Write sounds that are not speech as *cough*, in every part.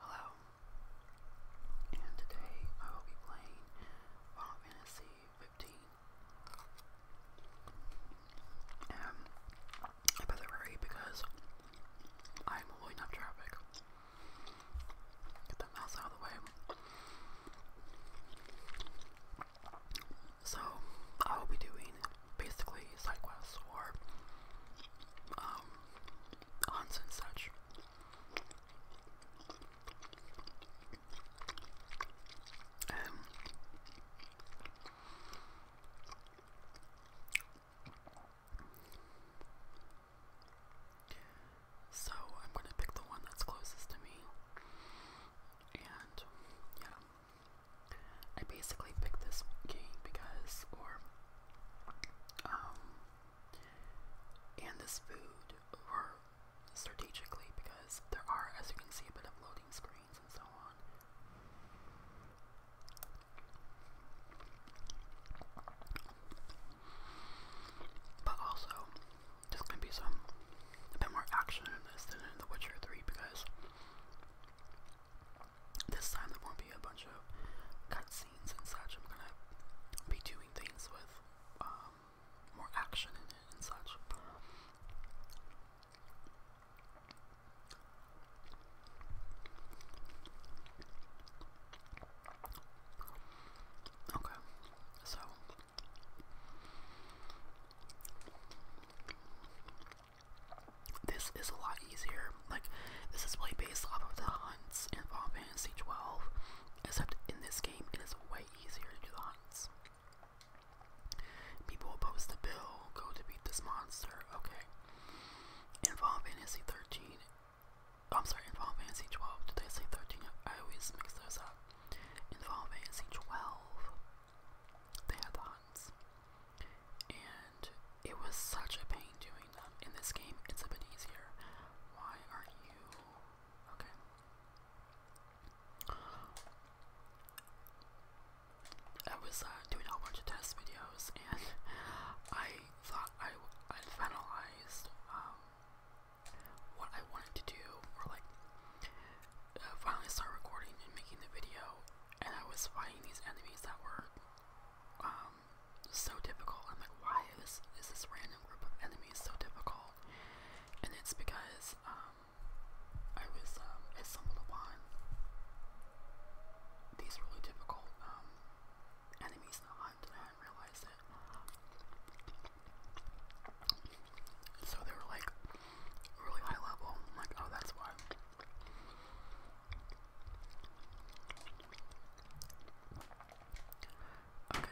Hello, and today I will be playing Final Fantasy 15. Um, I better hurry because I'm holding up traffic. Get the mouse out of the way. So, I will be doing basically side quests or um, aunts and such. Um, so I'm gonna pick the one that's closest to me, and yeah, I basically picked this game because, or um, and this food were strategically because there are, as you can see, a bit of loading screens and so on. But also, there's gonna be some a bit more action in this than in The Witcher 3 because this time there won't be a bunch of cutscenes and such. I'm gonna be doing things with um, more action in it and such. Okay, so this is a lot easier. Like, this is really based off of the hunts in Final Fantasy 12, except in this game it is way easier to do the hunts. People will post a bill, go to beat this monster, okay. In Final Fantasy 13, I'm sorry, in Final Fantasy 12, did I say 13? I always mix those up. In Final Fantasy 12, they had the hunts. And it was such a pain doing that In this game, it's a bit easier. Why are you. Okay. I was uh, doing a bunch of test videos and *laughs* I thought I, I finalized um, what I wanted to do or like uh, finally start recording and making the video and I was fighting these enemies that were um, so difficult. I'm like, why is, is this random group of enemies so difficult? And it's because um, I was um, I stumbled upon these really difficult um, enemies in the hunt, and I hadn't realized it. So they were like really high level. I'm like, oh, that's why. Okay.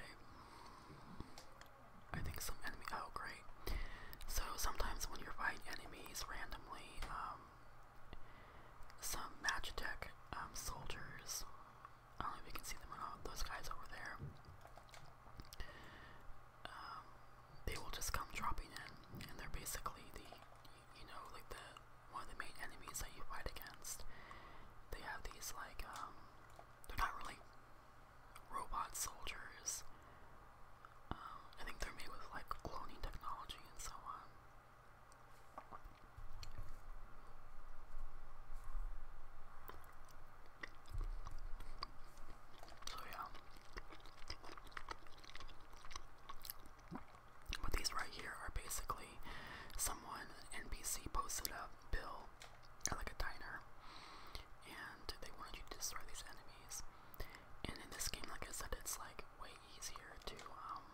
I think some enemy. Oh, great. So sometimes when you fight enemies randomly, um, some magic deck um, soldiers. I don't know if you can see them or not. Those guys over there. Um, they will just come dropping in, and they're basically the you know, like the one of the main enemies that you fight against. They have these like um, they're not really robot soldiers. Um, I think they're made with like cloning technology and so on. So yeah. But these right here are basically someone, an NPC, posted a bill like a diner, and they wanted you to destroy these enemies. And in this game, like I said, it's like way easier to, um,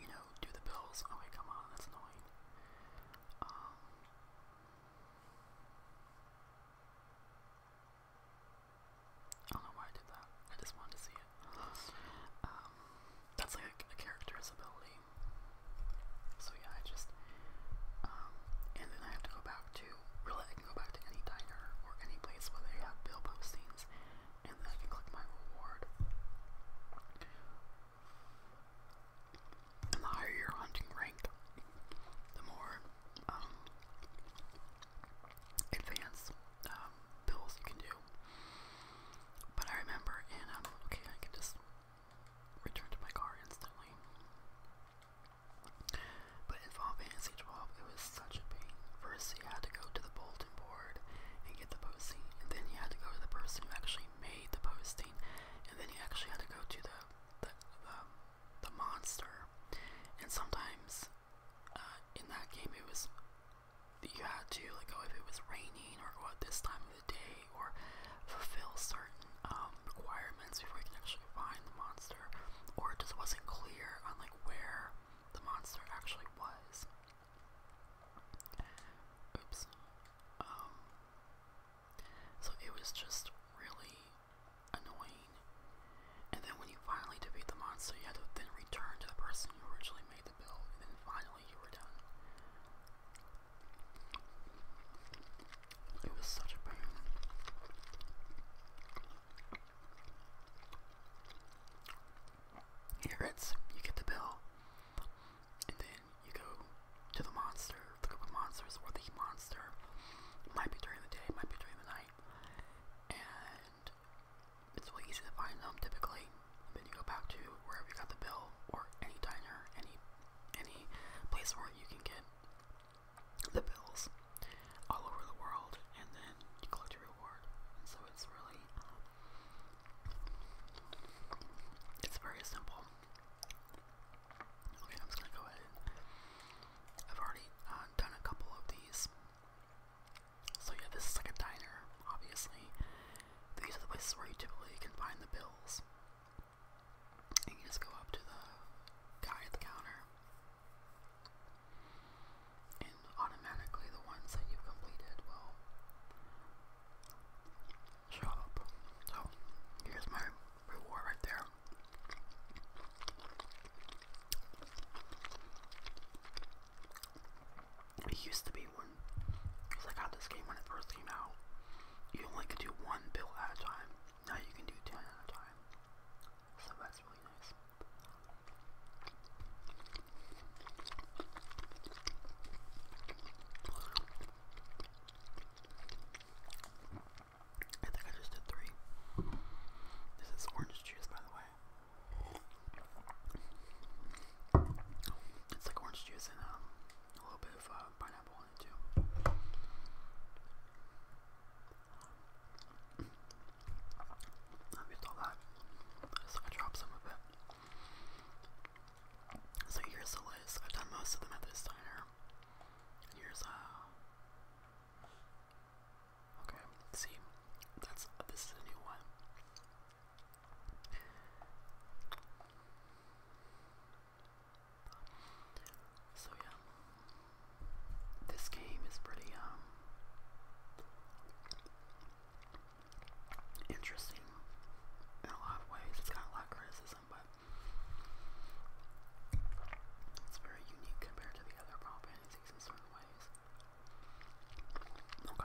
you know, do the bills. Okay, come on, that's annoying. Um, I don't know why I did that. I just wanted to see it. Um, that's like a, a ability. So yeah, I just, um, and then I have to go back to, really I can go back to any diner or any place where they have bill postings, and then I can click my reward. And the higher your hunting rank, the more, um, um, bills you can do. But I remember, and I'm um, okay, I can just return to my car instantly. But in Final Fantasy 12, it was such a pain. First, you had to go to the bulletin board and get the posting, and then you had to go to the person who actually made the posting, and then you actually had to go to the the, the, the monster. And sometimes uh, in that game, it was you had to like go oh, if it was raining or go at this time of the day or fulfill certain um, requirements before you can actually find the monster or it just wasn't clear on like where the monster actually was. Oops. Um, so it was just really annoying and then when you finally defeat the monster, you have to then return to the person who originally made the bill, and then finally you were done. It was such a pain. Here it's you get the bill, and then you go to the monster, the group of monsters, or the monster. might be during the day, might be during the night, and and it's really easy to find them typically. Then you go back to wherever you got the bill, or any diner, any any place where you can get the bills all over the world, and then you collect your reward. And so it's really it's very simple. Okay, I'm just gonna go ahead. I've already uh, done a couple of these so yeah, this is like a diner, obviously. These are the places where you typically can find the bills. And you just go up to the guy at the counter. And automatically the ones that you've completed will show up. So here's my reward right there. It used to be when, cause I got this game when it first came out, you only could do one build at a time. Now you can do ten at a time. So that's really nice. I think I just did three. This is orange juice, by the way. It's like orange juice and um, a little bit of uh, pineapple in it too. I've used all that. So I dropped some of it. So here's the list. i done most of them at this diner. here's uh Okay, see, that's this is a new one. So yeah, this game is pretty um interesting in a lot of ways. It's got a lot of criticism, but it's very unique compared to the other Final Fantasy in ways. Okay.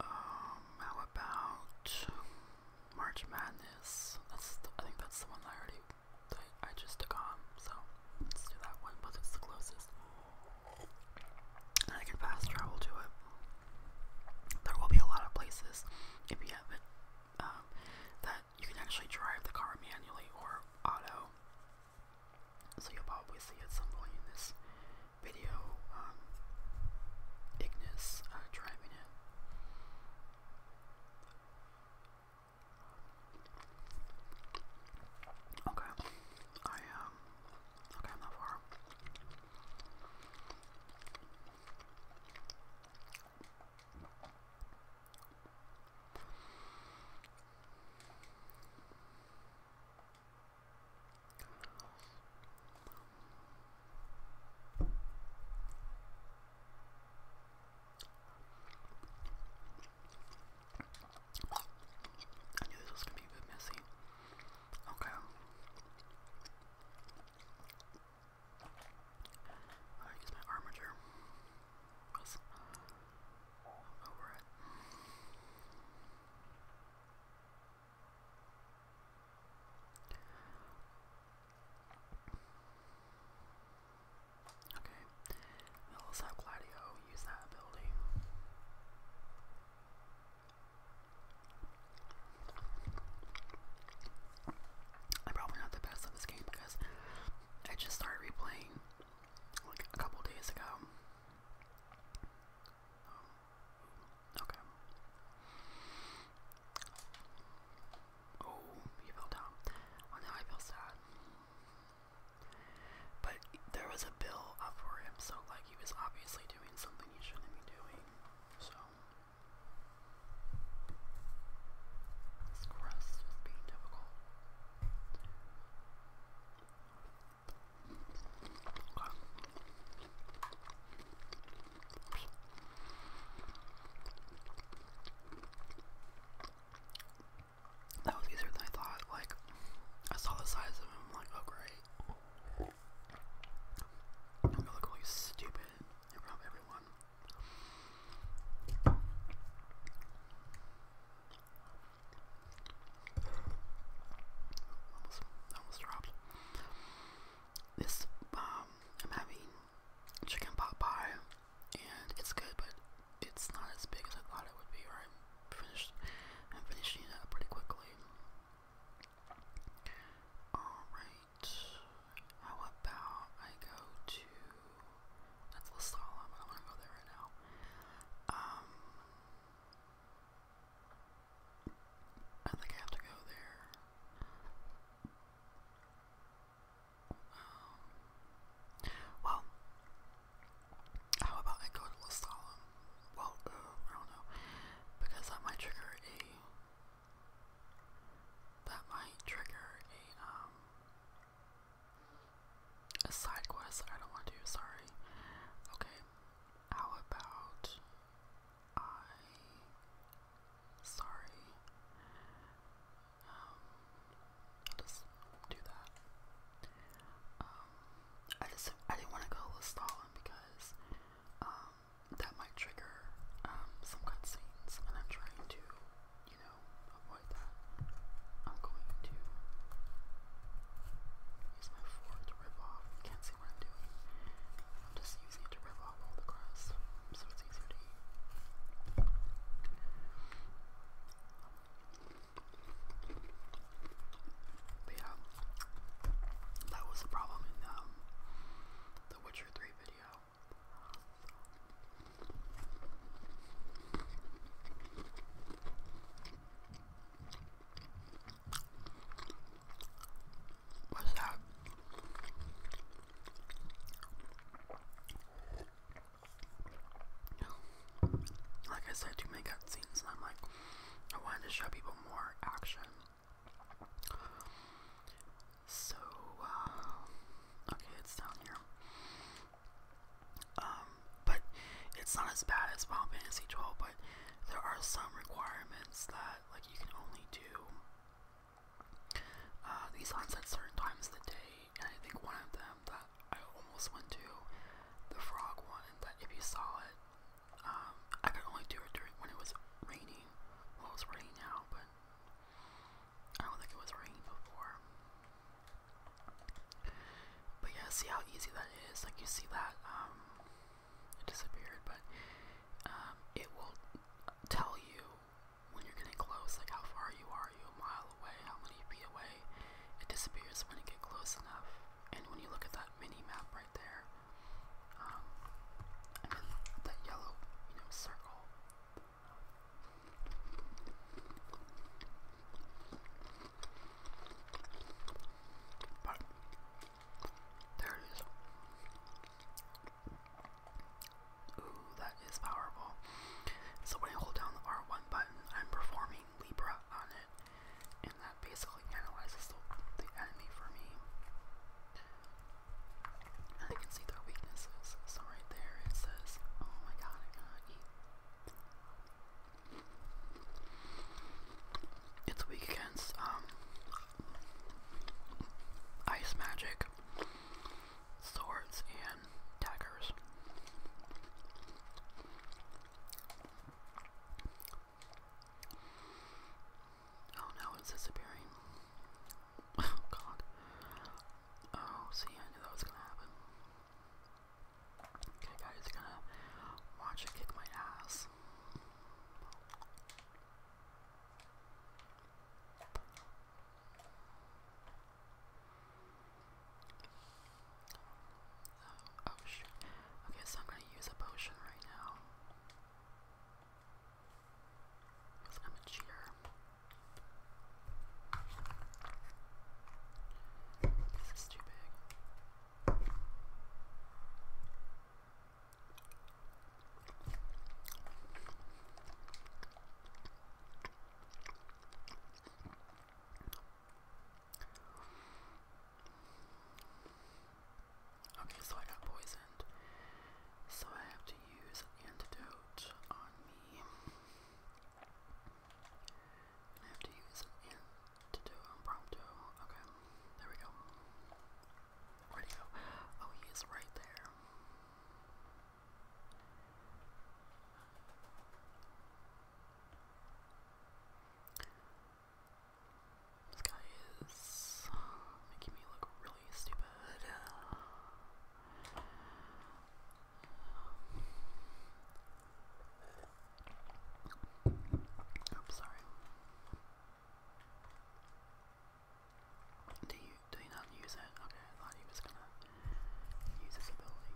Um, how about March Madness? That's the, I think that's the one I already I just took on, so let's do that one, but it's the closest. And I can fast travel to it. There will be a lot of places, if you haven't, um, that you can actually drive the car manually or auto. So you'll probably see at some point in this video, um, Ignis uh, driving it. Okay. I Um, okay, I'm not far. I knew this was gonna be a bit messy. Okay. I use my armature. Cause I'm over it. Okay, let's have Gladio use that ability. I'm probably not the best at this game because I just started replaying like a couple days ago. Um, okay. Oh, he fell down. Oh, now I feel sad. But there was a bill up for him, so like he was obviously doing something he shouldn't be doing. So this crust is being difficult. That was easier than I thought. Like, I saw the size of him, like, oh great. I'm gonna look really stupid in front of Almost, almost dropped. This, um, I'm having chicken pot pie, and it's good, but it's not as big as I thought it would be, or finished, I'm finishing up pretty quickly. Alright, how about I go to, that's La but I'm gonna go there right now. Um, I think I have to go there. Um, well, how about I go to L'Asylum? Well, uh, I don't know, because that might trigger a, that might trigger a, um, a side quest that I don't want to do, sorry. Okay, how about I, sorry, um, i just do that. Um, I just I didn't want to go with Stalin because um, that might trigger um, some scenes, and I'm trying to, you know, avoid that. I'm going to use my fork to rip off. You can't see what I'm doing. I'm just using it to rip off all the grass, so it's easier to but yeah, that was the problem in um, the Witcher 3 video. What's that? you know, like I said, too many cutscenes, and I'm like, I wanted to show people more action. So, uh, okay, it's down here. Um, but it's not as bad as Final Fantasy 12, but there are some requirements that, like, you can only do uh, these hunts at certain times of the day I think one of them that I almost went to, the frog one, that if you saw it, um, I could only do it during when it was raining. Well, it's raining now, but I don't think it was raining before. But yeah, see how easy that is. Like you see that um, it disappeared, but um, it will tell you when you're getting close, like how far you are you a mile away, how many feet away, it disappears when you get close enough. And when you look at that mini map right there, um, that yellow, circle. But there it is. Ooh, that is powerful. So when I hold down the R1 button, I'm performing Libra on it, and that basically analyzes the, enemy for me. And I can see their weaknesses. So right there it says, oh my god, I'm going It's weak against um, ice magic, swords, and daggers. Oh no, it's disappearing. *laughs* Oh god. Oh, see, I knew that was gonna happen. Okay, guys, gonna watch it kick my ass. Oh, oh shit. Okay, so I'm gonna use a potion right now. Because I'm a cheater. This is too big. Okay, so I got poisoned. So I have to use an antidote on me. I have to use an antidote on Okay, there we go. Where'd he go? Oh, he is right there. This guy is making me look really stupid. Um, I'm sorry. Do you do you not use it? Okay, I thought he was gonna use his ability.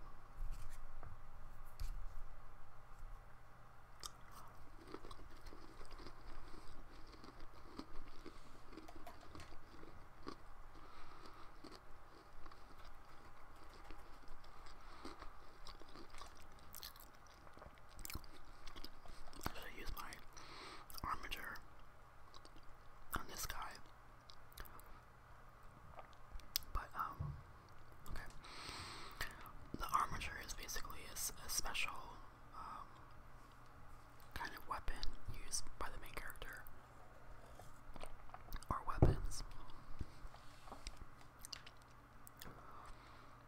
I should use my armature on this guy. But um, okay. The armature is basically a, special um, kind of weapon used by the main character, or weapons.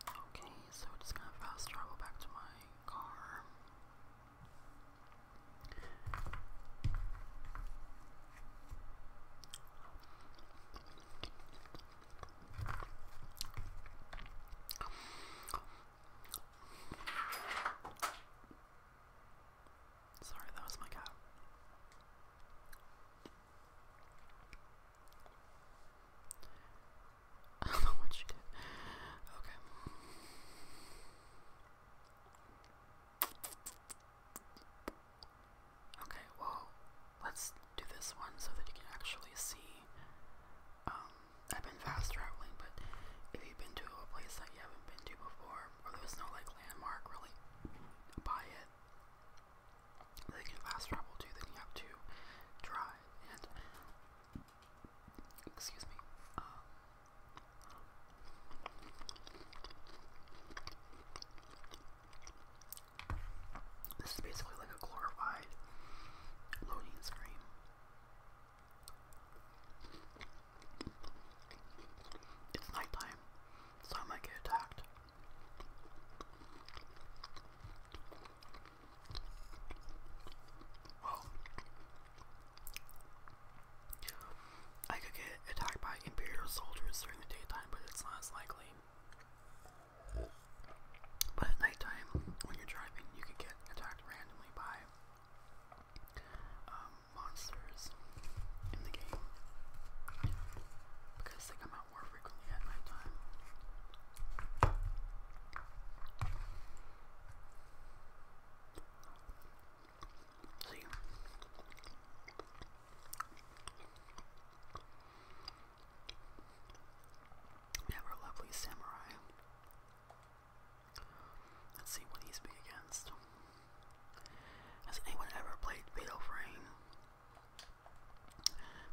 Okay, so just gonna fast travel back to my car. Sorry, that was my cat. *laughs* I don't know what she did. Okay. Okay, well, let's do this one so that you can actually see. Um, I've been fast traveling, but if you've been to a place that you haven't been to before, or there's no like landmark really by it that you can fast travel to, then you have to drive and excuse me. Um, this is basically like a glorified loading screen. It's nighttime, so I might get attacked. Well, I could get attacked by Imperial soldiers during the daytime, but it's not likely. But at nighttime, when you're driving, you could get attacked randomly by um, monsters in the game because they come out more frequently at nighttime. See, we have our lovely samurai. Let's see what he's be against. Has anyone ever played Fatal Frame?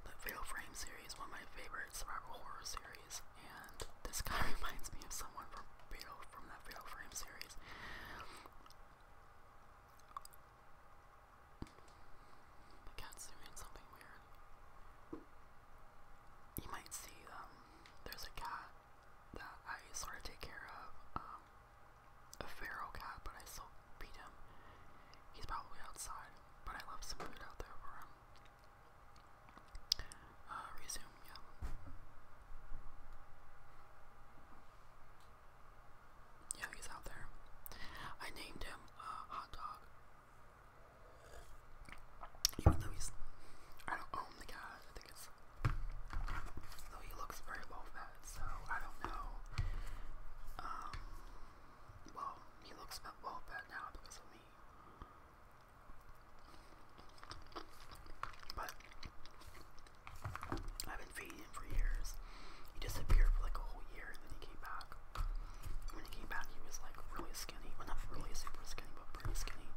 The Fatal Frame series, one of my favorite survival horror series, and this guy *laughs* reminds me of someone from Fatal from that Fatal Frame series. My cat's doing something weird. You might see, um, there's a cat that I sort of take care of, um, a feral cat, but I still feed him. He's probably outside, but I left some food out there for him. Uh, resume, yeah. Yeah, he's out there. I named him uh, Hot Dog. Even though he's, I don't own the guy. I think it's though he looks very low fat, so I don't know. Um, well, he looks well fat now because of me. But I've been feeding him for years. He disappeared for like a whole year and then he came back. When he came back, he was like really skinny. Well, not really super skinny, but pretty skinny.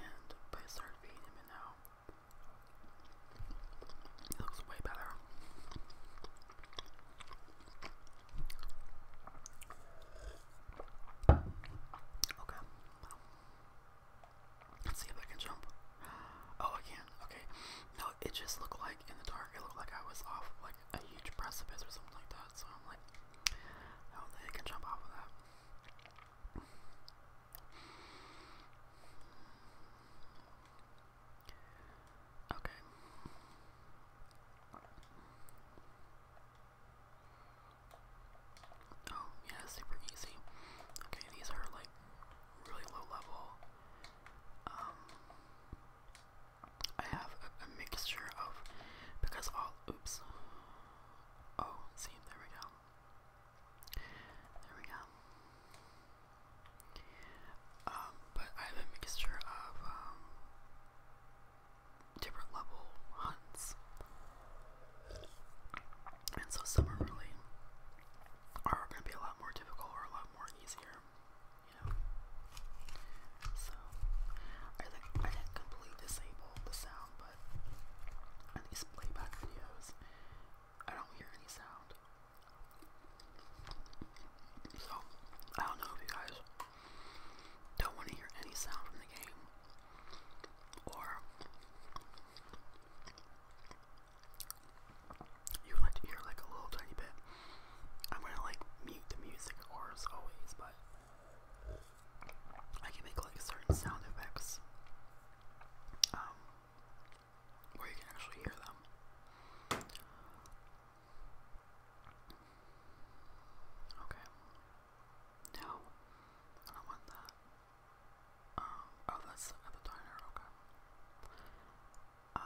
And I started feeding him, and now he looks way better. Okay. Let's see if I can jump. Oh, I can. Okay. No, it just looked like in the dark. It looked like I was off like a huge precipice or something like that. So I'm like, I don't think I can jump off of that. Okay. Oh, yeah, super easy. Okay, these are like really low level um, I have a, a mixture of, because all, oops, oh, see, there we go, there we go, um, but I have a mixture of, um, different level hunts, and so some are really, are going to be a lot more difficult or a lot more easier, you know. So I I didn't completely disable the sound, but in these playback videos, I don't hear any sound. So I don't know if you guys don't want to hear any sound from the game, or you like to hear like a little tiny bit. I'm gonna like mute the music or as always, but I can make like certain sound effects um, where you can actually hear them. Okay. No, I don't want that. Um, oh, that's at the diner. Okay. Um,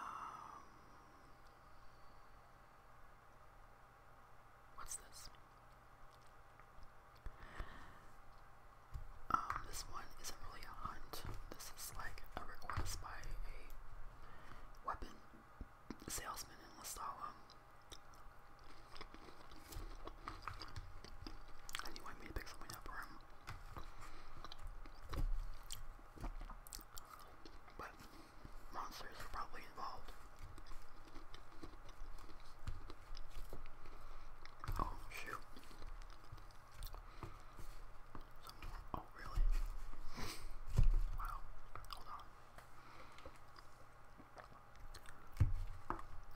what's this? Um, this one isn't really a hunt. This is like a request by a weapon salesman in Lestala. And he wanted me to pick something up for him. But monsters were probably involved. Oh shoot. oh really? wow.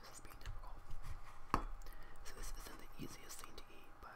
This is being difficult. So this isn't the easiest thing to eat, but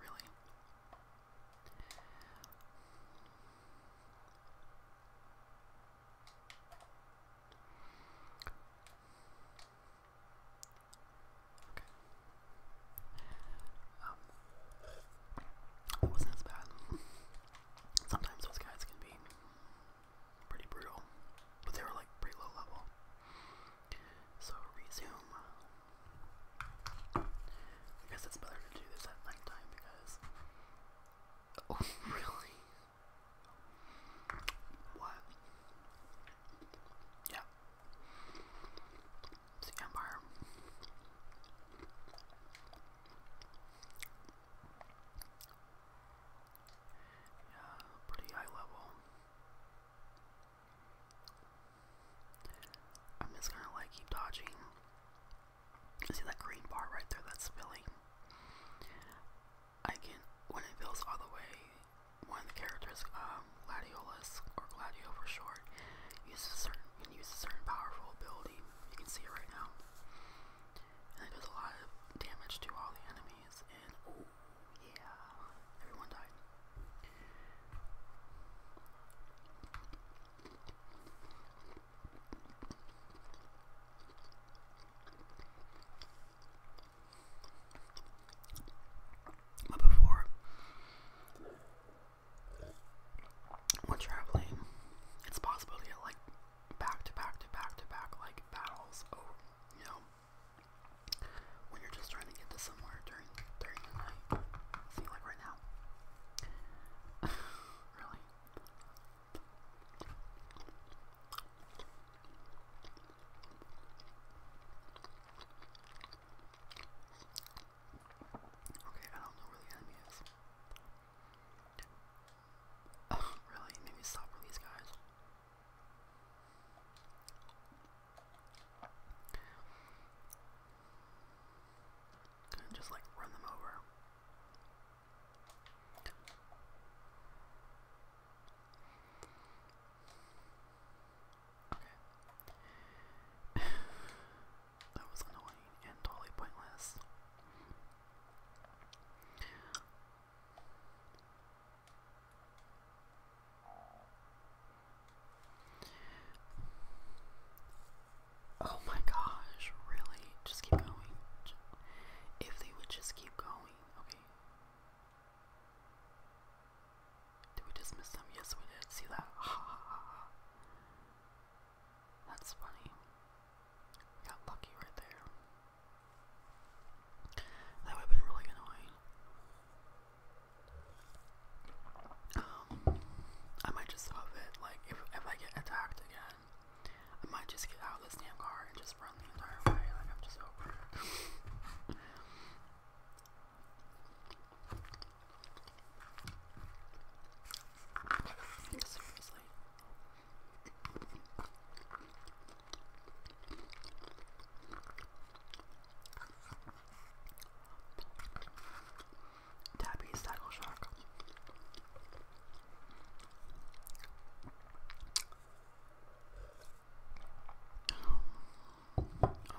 really? Okay. it wasn't as bad. Sometimes those guys can be pretty brutal, but they were like pretty low level. So resume. I guess it's better to do this at nighttime because. Oh *laughs* really? What? Yeah. It's the Empire. Yeah, pretty high level. I'm just gonna like keep dodging. See that green bar right there that's filling? I can, when it fills all the way, one of the characters, um, Gladiolus, or Gladio for short, uses certain, can use a certain powerful ability. You can see it right now. And it does a lot of damage to all the enemies, and yeah, everyone died. But before, when traveling, it's possible to get like back to back to back to back like battles. Oh, you know, when you're just trying to get to somewhere during during the night. See, like right now. *laughs* really. Okay, I don't know where the enemy is. *laughs* really? Maybe stop with these guys. And just like run them over. *sighs* that was annoying and totally pointless. Oh my gosh, really? Just keep going. If they would just keep going. Okay. Did we dismiss them? Yes, we did. See that? That's funny. got lucky right there. That would have been really annoying. Um, I might just stop it. Like, if, if I get attacked again, I might just get out of this damn car and just run the entire way. Like, I'm just over it. Seriously. *laughs* Tabby's Tackle Shock.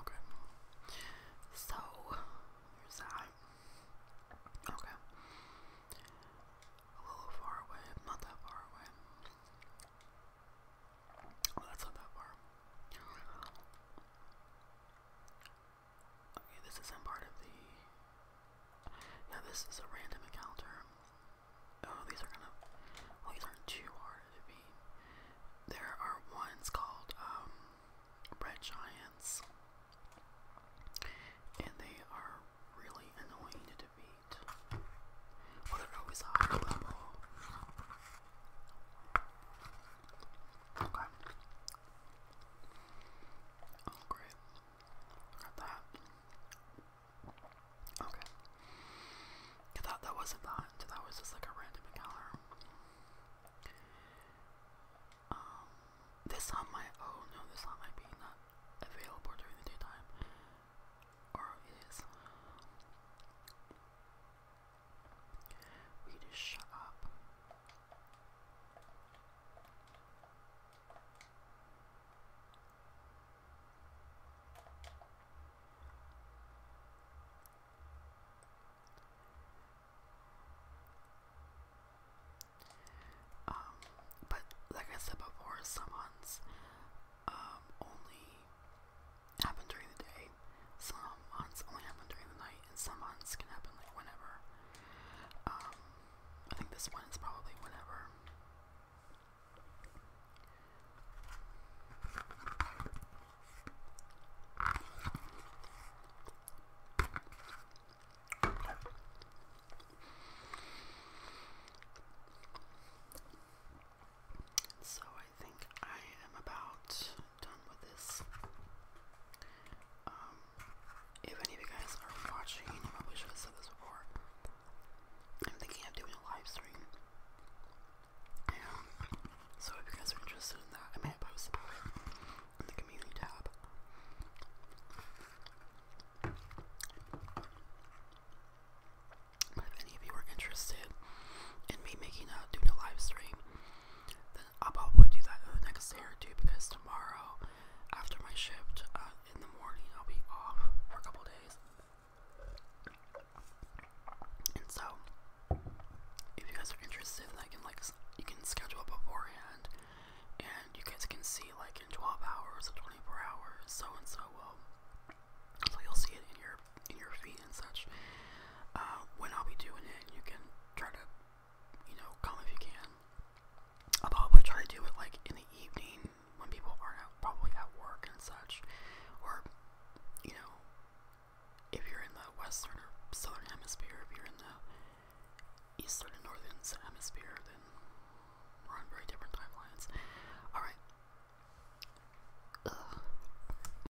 Okay. So, there's that. Okay. A little far away, not that far away. That's not that far. Okay, this isn't part of the. Yeah, this is a random encounter. Oh, these are gonna. Well, these aren't too hard to beat. There are ones called um, red giants, and they are really annoying to beat. Well, they're always a level. Okay. Oh, great. Got that. Okay. I thought that wasn't that. That was just like a random encounter. Um, this on my oh no, this on my be not available during the daytime, or it is. We just shut up. Um, but like I said before, someone's um only happen during the day. Some hunts only happen during the night, and some hunts can happen like whenever. Um, I think this one is probably whenever. So I think I am about done with this. Um, if any of you guys are watching, I wish I said this before. I'm thinking of doing a live stream. so if you guys are interested in that, I may post about it in the community tab. if any of you are interested in me making a doing a live stream, I'll probably do that the next day or two because tomorrow, after my shift uh, in the morning, I'll be off for a couple days. And so, if you guys are interested, then I can like you can schedule it beforehand, and you guys can see like in 12 hours or 24 hours, so and so So you'll see it in your your in your feet and such. Uh, when I'll be doing it, you can try to, you know, come if you can. i probably try to do it like in the evening when people are probably at work and such, or you know, if you're in the western southern hemisphere, if you're in the eastern northern hemisphere, then we're on very different timelines. All right.